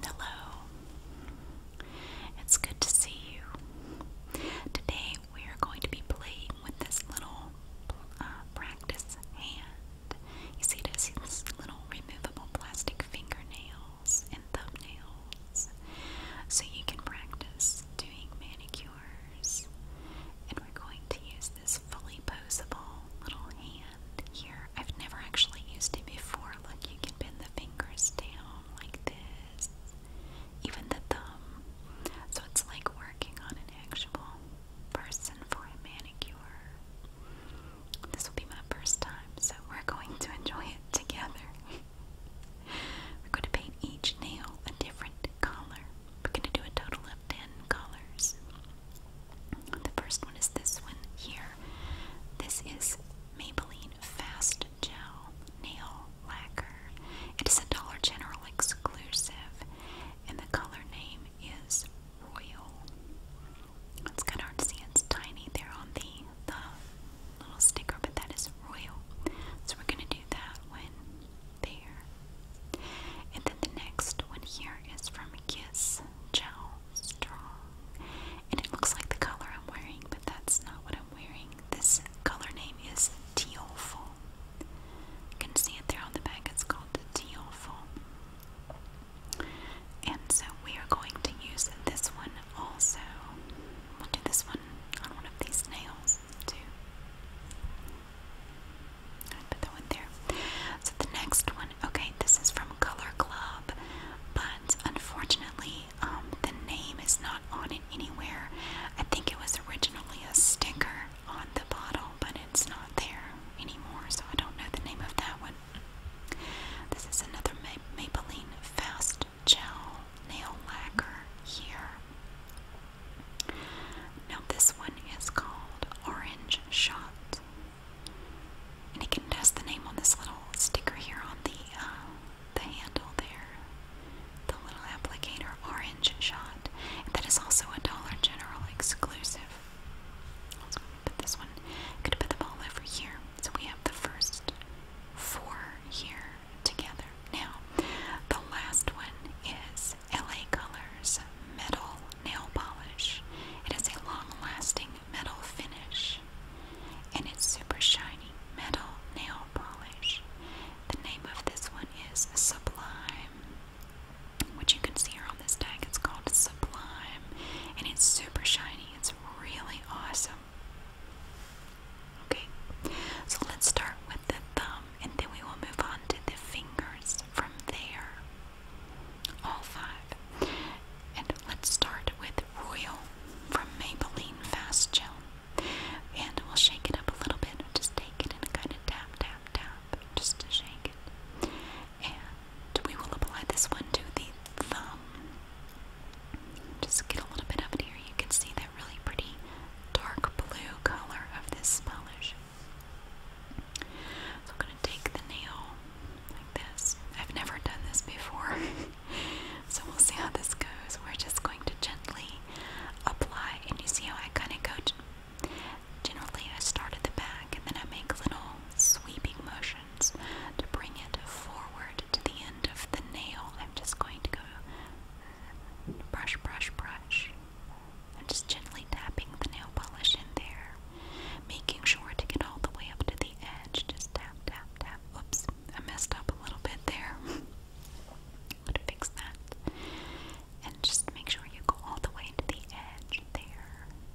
Hello. It's good to see you. Today we are going to be playing with this little uh, practice hand. You see, it little removable plastic fingernails and thumbnails. So you can practice doing manicures. And we're going to use this fully posable little hand here, I've never actually used it before. Look, you can bend the fingers down like this, even the thumb. So it's like working on an actual person for a manicure. This will be my first time, so we're going to enjoy it together. we're going to paint each nail a different color. We're going to do a total of 10 colors. The first one is this one here. This is Maybelline Fast Gel Nail Lacquer. It is a Dollar General exclusive, and the color name is Royal. It's kind of hard to see, it's tiny there on the, the little sticker, but that is Royal. So we're going to do that one there. And then the next one here is from Kiss Chow Strong. And it looks like the color I'm wearing, but that's not what I'm wearing. This color name is Teal Foam. You can see it there on the back, it's called the Teal Foam. And so we are going to use this one also. We'll do this one on one of these nails too. I put that one there. So the next one Okay, this is from Color Club, but unfortunately, um, the name is not on it anywhere. I think it was originally a sticker on the bottle, but it's not there anymore, so I don't know the name of that one. This is another Ma Maybelline Fast Gel Nail Lacquer here. Now, this one is called Orange Shot. And you can test the name on this little sticker here on the uh, the handle there, the little applicator orange shot. that is also a Dollar General exclusive. let put this one. i put them all over here, so we have the first four here together. Now, the last one is LA Colors Metal nail polish. It has a long lasting metal finish and it's super shiny metal nail polish. The name of this one is Sublime, which you can see here on this tag. It's called Sublime and it's super shiny. It's really awesome. Okay, so let's start with the thumb and then we will move on to the fingers from there all five. And let's start with Royal from Maybelline Fast Gel. And we'll shake it up a little bit. Just take it and kind of tap, tap, tap, just to shake it. And we will apply this one to the thumb. Just get a little bit of it here. You can see that really pretty dark blue color of this polish. So I'm gonna take the nail like this. I've never done this before, so we'll see how this goes. We're just going to gently apply, and you see how I kind of go. Generally, I start at the back, and then I make little sweeping motions to bring it forward to the end of the nail. I'm just going to go brush, brush, brush. I'm just gently tapping the nail polish in there making sure to get all the way up to the edge. Just tap, tap, tap. Oops, I messed up a little bit there. Gotta fix that. And just make sure you go all the way to the edge there.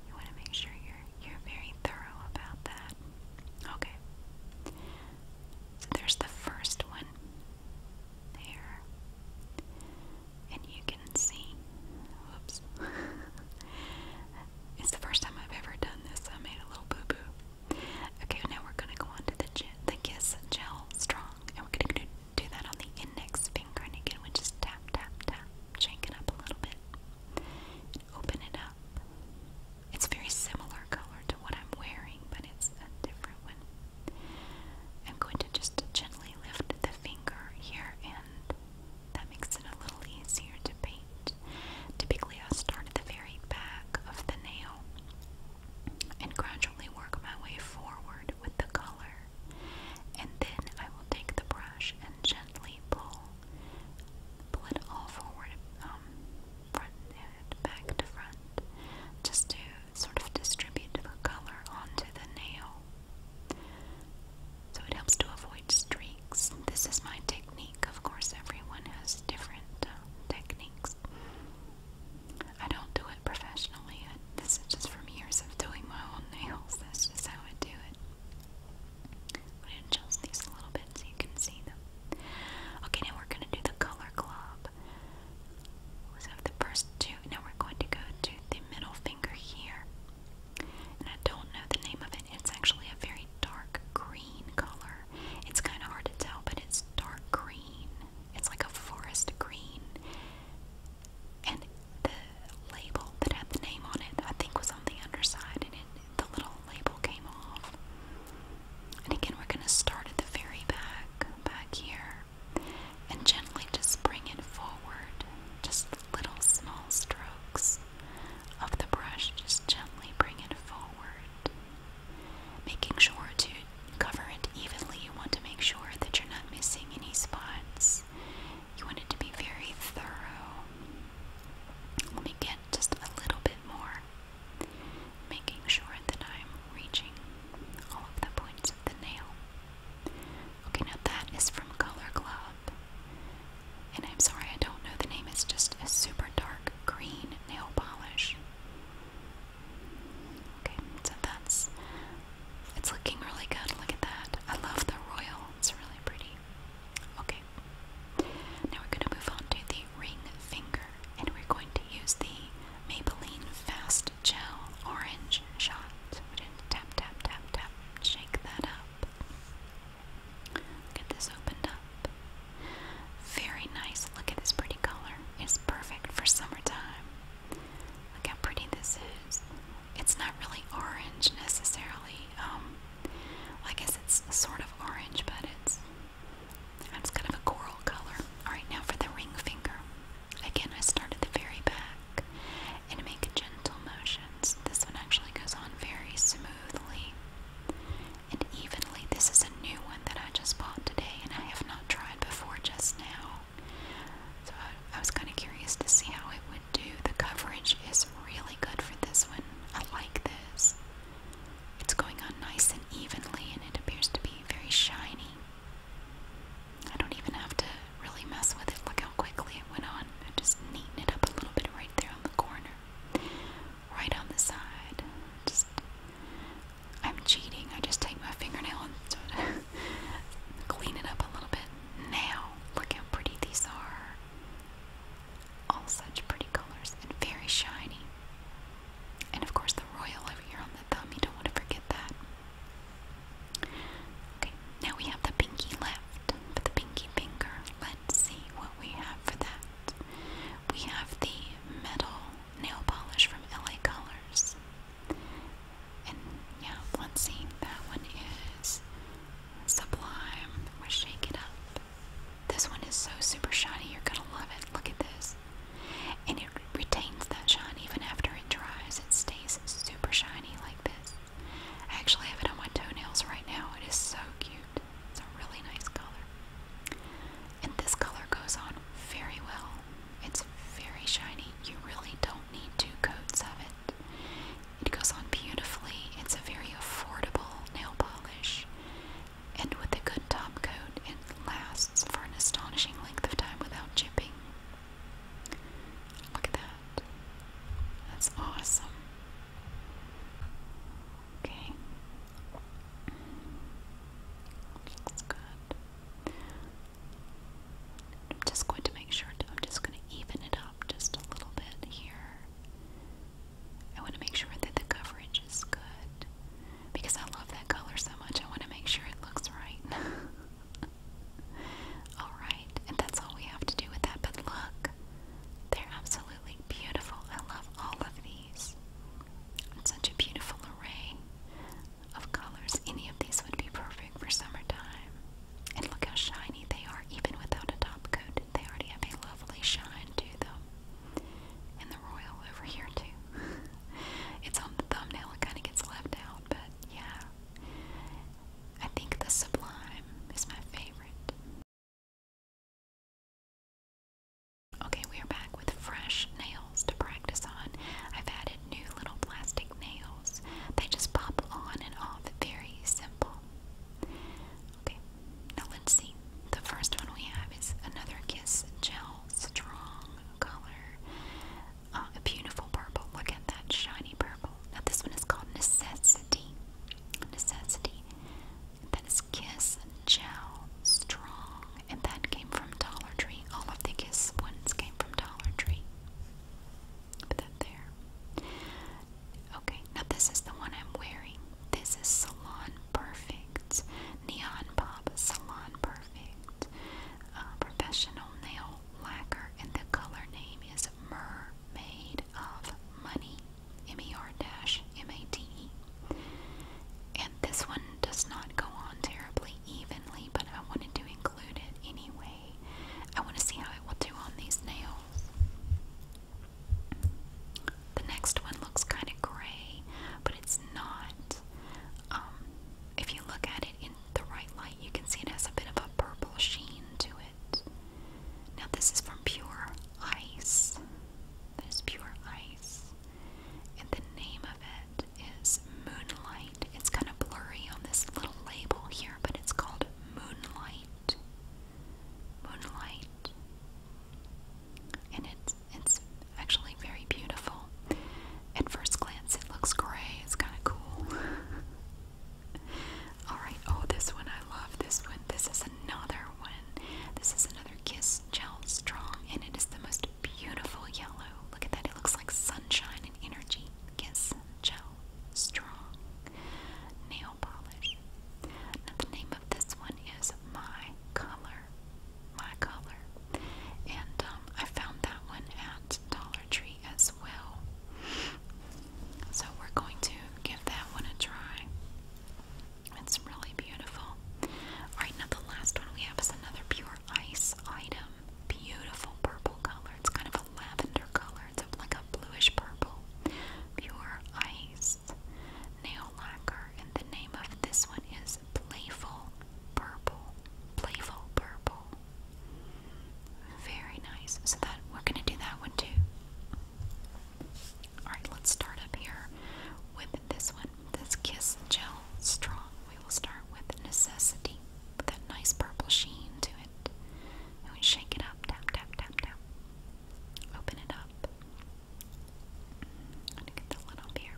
You want to make sure you're you're very thorough about that. Okay. So there's the first one. There and you can see. Whoops. it's the first time I've ever done this. I made a little boo boo. Okay, now we're gonna go on to the the Kiss Gel Strong, and we're gonna do, do that on the index finger, again we just tap, tap, tap, shake up a little bit, open it up. It's very similar color to what I'm wearing, but it's a different one. I'm going to just gently lift the finger here and that makes it a little easier to paint. Typically, I start at the very back of the nail and gradually work my way forward with the color. And then I will take the brush and gently pull, pull it all forward, um, front and back to front, just to sort of distribute the color onto the nail. So it helps to avoid streaks. This is my technique. Of course, everyone has different uh, techniques. I don't do it professionally. this is just from years of doing my own nails. That's just how I do it. I'm adjust these a little bit so you can see them. Okay, now we're going to do the color glob. So the first two, now we're going to go to the middle finger here. And I don't know the name of it. It's actually a very dark green color. It's kind of hard to tell, but it's dark green. It's like a forest green. And the label that had the name on it, I think, was on the underside, and it, the little label came off. And again, we're going to start at the very back, back here and gently just bring it forward, just little small strokes of the brush, just gently bring it forward, making sure to cover it evenly. You want to make sure that you're not missing any spots. You want it to be very thorough. Let me get just a little bit more, making sure that I'm reaching all of the points of the nail. Okay, now that is from Color Club. And I'm sorry, I don't know the name. It's just a super dark green nail polish. Okay, so that's. It's looking really good. Look at that. I love the royal, it's really pretty. Okay, now we're going to move on to the ring finger, and we're going to use the Maybelline Fast gel orange shot. So we're tap, tap, tap, tap, shake that up. Get this opened up. Very nice. Look at this pretty color. It's perfect for summertime. Look how pretty this is. It's not really orange necessarily. Um, I guess it's sort of orange, but it's it's kind of a coral color. All right, now for the ring finger. Again, I start at the very back and make gentle motions. This one actually goes on very smoothly and evenly. This is a new one that I just bought today and I have not tried before just now. So I, I was kind of curious to see how it would do. The coverage is really good for this one. I like this. It's going on nice and evenly and it appears to be very shiny. I don't even have to really mess with it. Look how quickly it went on. just neaten it up a little bit right there on the corner. Right on the side. Just I'm cheating. I just take my fingernail and sort of clean it up a little bit. Now, look how pretty these are. All such pretty colors and very shiny. And of course the royal over here on the thumb, you don't want to forget that. Okay, now we have the pinky left for the pinky finger. Let's see what we have for that. We have the metal nail polish from LA Colors. And yeah, let's see. That one is sublime. We shake it up. This one is so super shiny. You're gonna love it. Look at this. And it retains that shine even after it dries. It stays super shiny like this. I actually have it on my toenails right now. It is so cute. It's a really nice color. And this color goes on very well. It's very shiny. You really don't need two coats of it. It goes on beautifully. It's a very affordable nail polish. And with a good top coat, it lasts for an astonishing length of time without chipping. Look at that. That's awesome. Okay. That's good. I'm just going to make sure I'm just going to even it up just a little bit here. I want to make sure that the coverage is good because I love that color so much. I want to make sure it looks right. Alright, and that's all we have to do with that. But look, they're absolutely beautiful. I love all of these. such a beautiful array of colors. Any of these would be perfect for summertime. And look how shiny they are, even without a top coat. They already have a lovely shine to them. And the royal over here, too. it's on the thumbnail, it kind of gets left out but yeah. I think the Sublime is my favorite. Okay, we are back with fresh nails to practice on. I've added new little plastic nails. They just pop on and off, very simple. Okay, now let's see. The first one we have is another Kiss Gel Strong color. Uh, a beautiful purple. Look at that shiny purple. Now this one is called Necessity. Necessity. That is Kiss Jowl Strong, and that came from Dollar Tree. All of the Kiss ones came from Dollar Tree. Put that there. Okay, now this is the one I'm wearing. This is Salon Perfect. Neon Pop Salon Perfect. Uh, professional nail lacquer, and the color name is Mermaid of Money, M-E-R-M-A-D-E. And this one does not go on terribly evenly, but I wanted to include it anyway. I want to see how it will do on these nails. The next one looks kind of gray, but it's not. Um, if you look at it in the right light, you can see it has a bit of a purple sheen to it. Now, this is from Pure Ice. That is Pure Ice. And the name of it is Moonlight. It's kind of blurry on this little label here, but it's called Moonlight. Moonlight. And it's it's actually very beautiful. At first glance, it looks gray. It's kind of cool. All right. Oh, this one I love. This one. This is another one. This is another Kiss Gel Strong, and it is the most beautiful yellow. Look at that. It looks like sunshine and energy. Kiss Gel Strong nail polish. the name of this one is My Color my color. And um, I found that one at Dollar Tree as well. So we're going to give that one a try. It's really beautiful. Alright, now the last one we have is another pure ice item. Beautiful purple color. It's kind of a lavender color. It's like a bluish purple. Pure ice nail lacquer. And the name of this one is Playful purple, playful purple. Very nice. So that we're gonna do that one too. Alright, let's start up here with this one. This Kiss Gel Strong. We will start with necessity. With that nice purple sheen to it. And we shake it up. Tap, tap, tap, tap. Open it up. I'm gonna get the lid off here.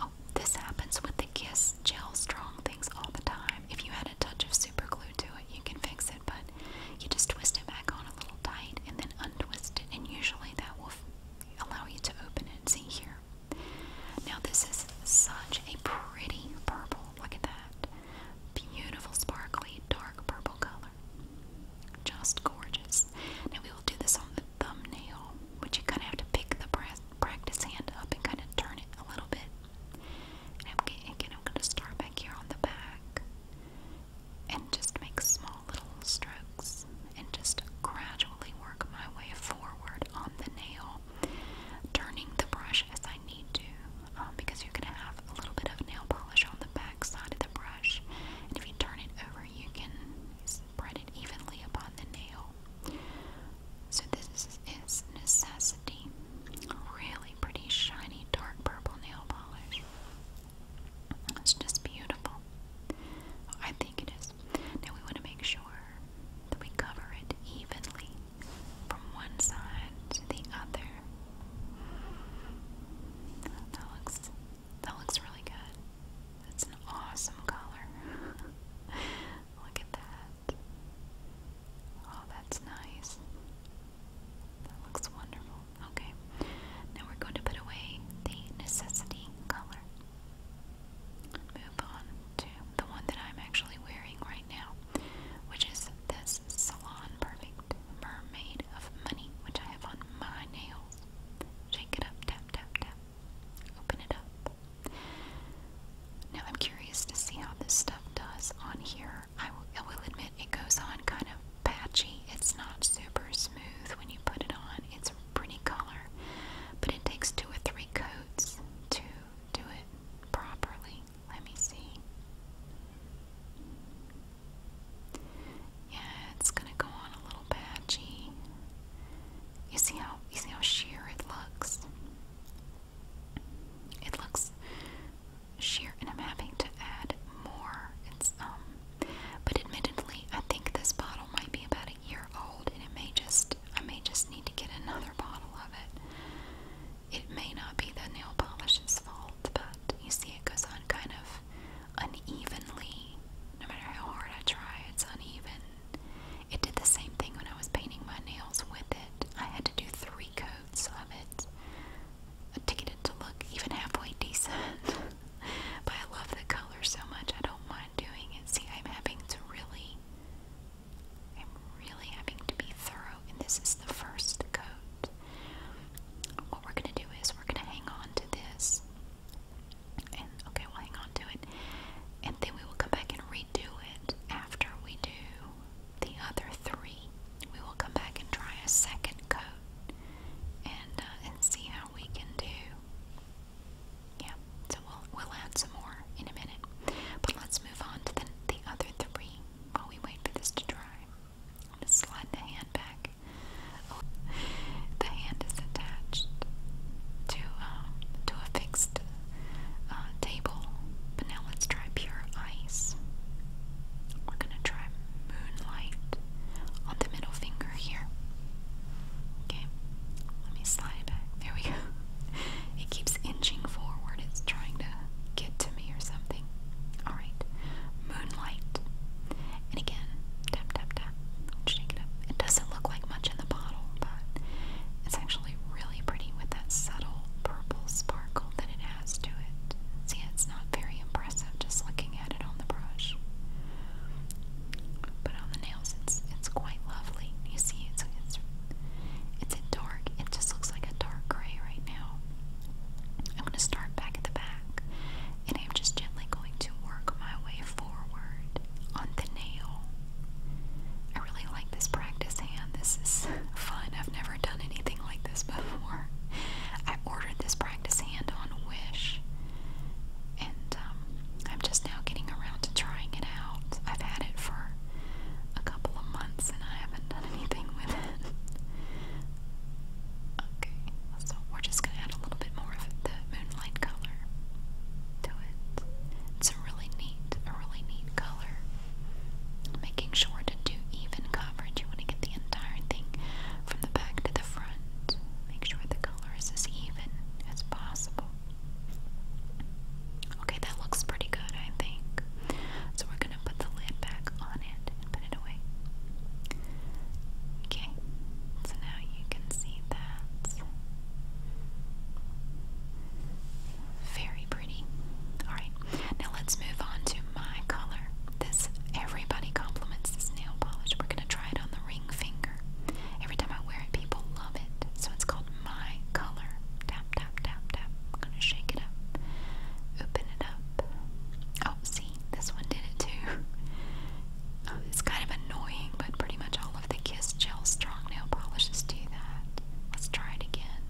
Oh, this happens with the Kiss Gel Strong things all the time. If you had a touch of super glue to it, you can fix it, but you just twist it back on a little tight and then untwist it, and usually that will allow you to open it. See here. Now, this is such a pretty purple. Look at that. Beautiful, sparkly, dark purple color. Just gorgeous. Now, we will do this on the thumbnail but you kind of have to pick the practice hand up and kind of turn it a little bit. And again, I'm going to start back here on the back and just make small little strokes and just gradually work my way forward on the nail, turning the brush as I need to um, because you're going to have a little bit of nail polish on the back side of the brush. And if you turn it over, you can spread it evenly upon the nail. So this is necessity. Really pretty shiny dark purple nail polish. It's just beautiful. I think it is. Now we want to make sure that we cover it evenly from one side to the other. That looks that looks really good. That's an awesome color. Look at that. Oh, that's nice. That looks wonderful. Okay. Now we're going to put away the necessity color. Move on to the one that I'm actually wearing right now, which is this Salon Perfect Mermaid of Money, which I have on my nail Shake it up, tap, tap, tap. Open it up. Now I'm curious to see how this stuff does on here. I will admit it goes on kind of patchy. It's not super smooth when you put it on. It's a pretty color, but it takes two or three coats to do it properly. Let me see. Yeah, it's gonna go on a little patchy. You see how you see how sheer it looks? It looks sheer and I'm having to add more. It's um but admittedly I think this bottle might be about a year old and it may just I may just need to get another bottle of it. It may not be the nail polish's fault, but you see it goes on kind of unevenly. No matter how hard I try, it's uneven. It did the same thing when I was painting my nails with it. I had to do three coats of it to get it to look even halfway decent. but I love the color so much, I don't mind doing it. See, I'm having to really, I'm really having to be thorough, and this is the first coat. What we're going to do is we're going to hang on to this and okay, we'll hang on to it. And then we will come back and redo it after we do the other three. We will come back and try a second coat and uh, and see how we can do. Yeah, so we'll we'll add some more in a minute. But let's move on to the the other three while we wait for this to dry. Just slide the hand back. the hand is attached to um, to a fixed uh, table. But now let's try pure ice. We're gonna try moonlight on the middle finger here. Okay, let me slide it back. There we go. It keeps inching forward. It's trying to get to me or something. Alright, Moonlight. And again, tap, tap, tap. Shake it up. It doesn't look like much in the bottle, but it's actually really pretty with that subtle purple sparkle that it has to it. See, it's not very impressive just looking at it on the brush. But on the nails, it's it's quite lovely. You see, it's it's it's dark. It just looks like a dark gray right now. I'm gonna start back at the back and I'm just gently going to work my way forward on the nail. I really like this practice hand. This is fun. I've never done anything like this before. I ordered this practice hand on Wish, and um, I'm just now getting around to trying it out. I've had it for a couple of months and I haven't done anything with it. Okay, so we're just gonna add a little bit more of the moonlight color to it. It's a really neat, a really neat color. Making sure to do even coverage. You want to get the entire thing from the back to the front. Make sure the color is as even as possible. Okay, that looks pretty good, I think. So we're gonna put the lid back on it put it away. Okay, so now you can see that. Very pretty. Alright, now let's move on to my color. This, everybody compliments this nail polish. We're going to try it on the ring finger. Every time I wear it, people love it. So it's called My Color. Tap, tap, tap, tap. going to shake it up. Open it up. Oh, see, this one did it too. Oh, it's kind of annoying, but pretty much all of the Kiss Gel Strong Nail Polishes do that. Let's try it again.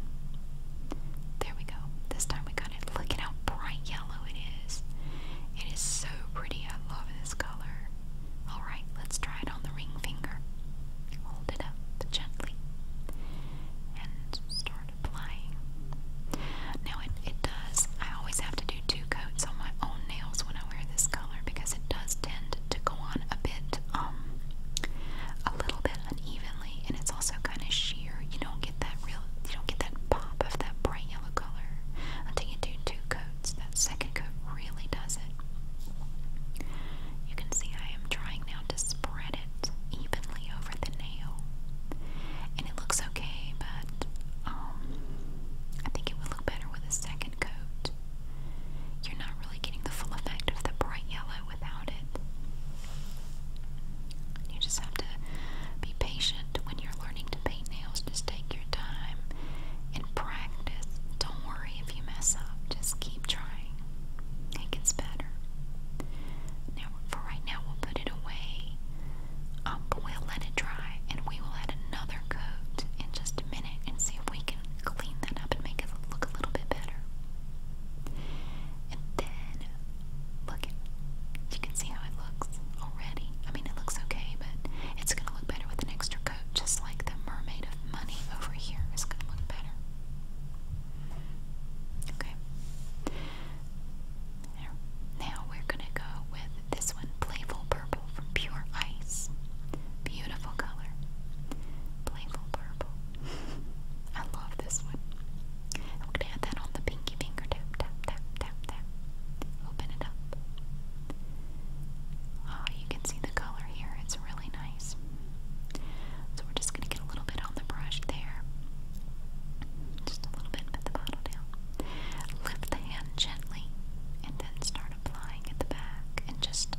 There we go. This time we got it. Look at how bright yellow it is. It is so pretty. I love this color. Alright, let's try it on the ring finger. Hold it up gently and start now it, does, I always have to do two coats on my own nails when I wear this color because it does tend to go on a bit, um, a little bit unevenly and it's also kind of sheer. You don't get that real, you don't get that pop of that bright yellow color until you do two coats. That second coat really does it. You can see I am trying now to spread it evenly over the nail. And it looks okay, but um, I think it would look better with a second coat. You're not really getting the full effect of the bright yellow without it. You just have to be patient when you're learning to paint nails. Just take your time and practice. Don't worry if you mess up, just keep trying. It gets better for right now we'll put it away. Um, but we'll let it dry and we will add another coat in just a minute and see if we can clean that up and make it look a little bit better. And then look at you can see how it looks already. I mean it looks okay, but it's gonna look better with an extra coat, just like the mermaid of money over here is gonna look better. Okay. Now we're gonna go with this one, Playful Purple from Pure Ice. Beautiful color. Playful Purple. I love this one. I'm gonna add that on the pinky finger. Tap, tap, tap, tap, tap. Open it up. Ah, you can see the color here. It's really nice. So we're just just gonna get a little bit on the brush there. Just a little bit, put the bottle down. Lift the hand gently and then start applying at the back and just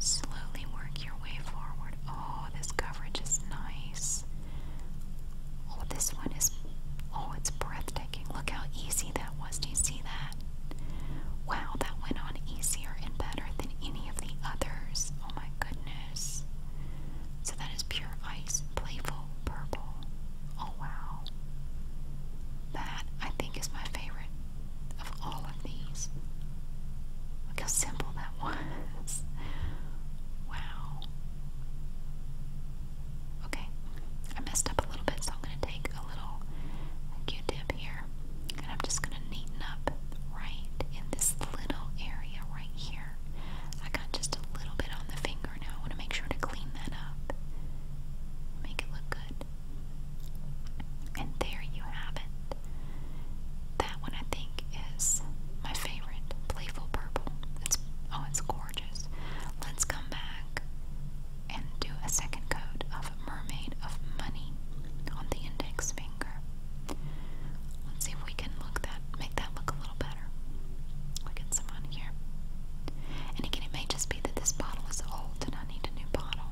slowly work your way forward. Oh, this coverage is nice. Oh, this one is, oh, it's breathtaking. Look how easy that was. Do you see that? Wow, that went on easier and better than any of the others. Oh my goodness. So that is pure ice, playful purple. Oh wow. That I think is my favorite of all of these. Look how simple that was. Wow. Okay, I messed up a little bit, so I'm going to take a little q tip here and I'm just going to neaten up right in this little area right here there. I got just a little bit on the finger now. I want to make sure to clean that up. Make it look good. And there you have it. That one I think is my favorite. Playful purple. It's oh it's gorgeous. Let's come back and do a second coat of Mermaid of Money on the index finger. Let's see if we can look that make that look a little better. We get some on here. And again, it may just be that this bottle is old and I need a new bottle.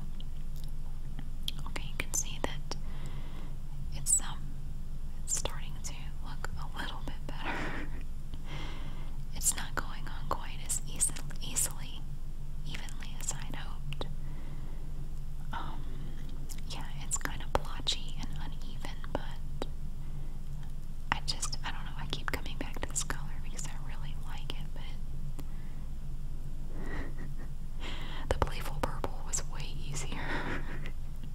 Okay, you can see that it's um it's starting to look a little bit better. it's not going on quite as easily, evenly as I'd hoped. Um, yeah, it's kind of blotchy and uneven, but I just, I don't know, I keep coming back to this color because I really like it, but the playful purple was way easier.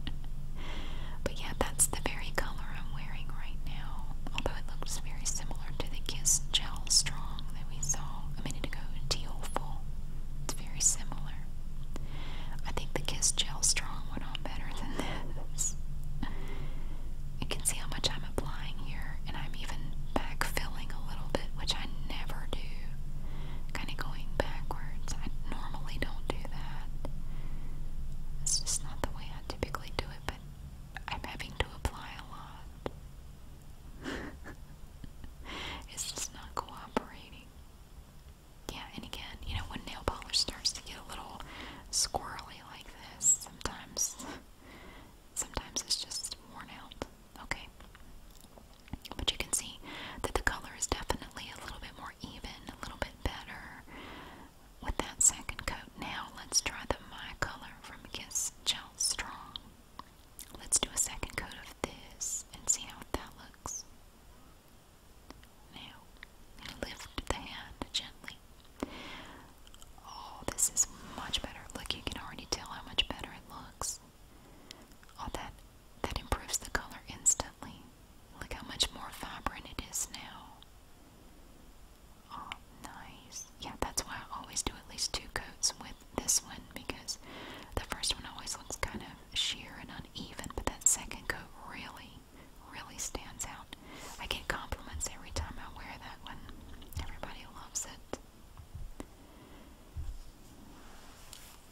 but yeah, that's the very color I'm wearing right now, although it looks very similar to the Kiss Gel Strong that we saw a minute ago, Teal It's very similar. I think the Kiss Gel Strong went on better than this. You can see how much I'm applying here, and I'm even backfilling a little bit, which I never do. Kind of going backwards. I normally don't do that. It's just not the way I typically do it, but I'm having to apply a lot. it's just not cooperating. Yeah, and again, you know, when nail polish starts to get a little squirrely like this, sometimes, sometimes it's just worn out. Okay. But you can see that the color is definitely a little bit more even, a little bit better with that second coat. Now let's try the My Color from Kiss Gel Strong. Let's do a second coat of this and see how that looks. Now, lift the hand gently. Oh, this is much better. Look, you can already tell how much better it looks. Oh, that that improves the color instantly. Look how much more vibrant it is now. Oh, nice. Yeah, that's why I always do at least two coats with this one because the first one always looks kind of sheer and uneven, but that second coat really, really stands out. I get compliments every time I wear that one. Everybody loves it.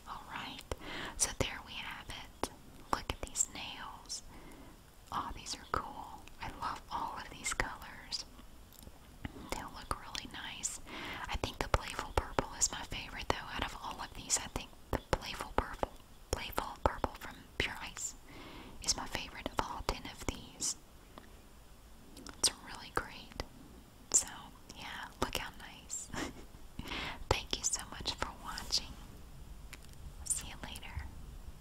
Alright, so there we have it. Look at these nails. Oh, these are cool. I love all of these colors. they look really nice I think the playful purple is my favorite though. Out of all of these, I think the playful purple, playful purple from Pure Ice, is my favorite of all ten of these. It's really great. So yeah, look how nice. Thank you so much for watching. See you later.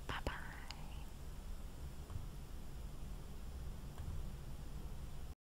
Bye bye.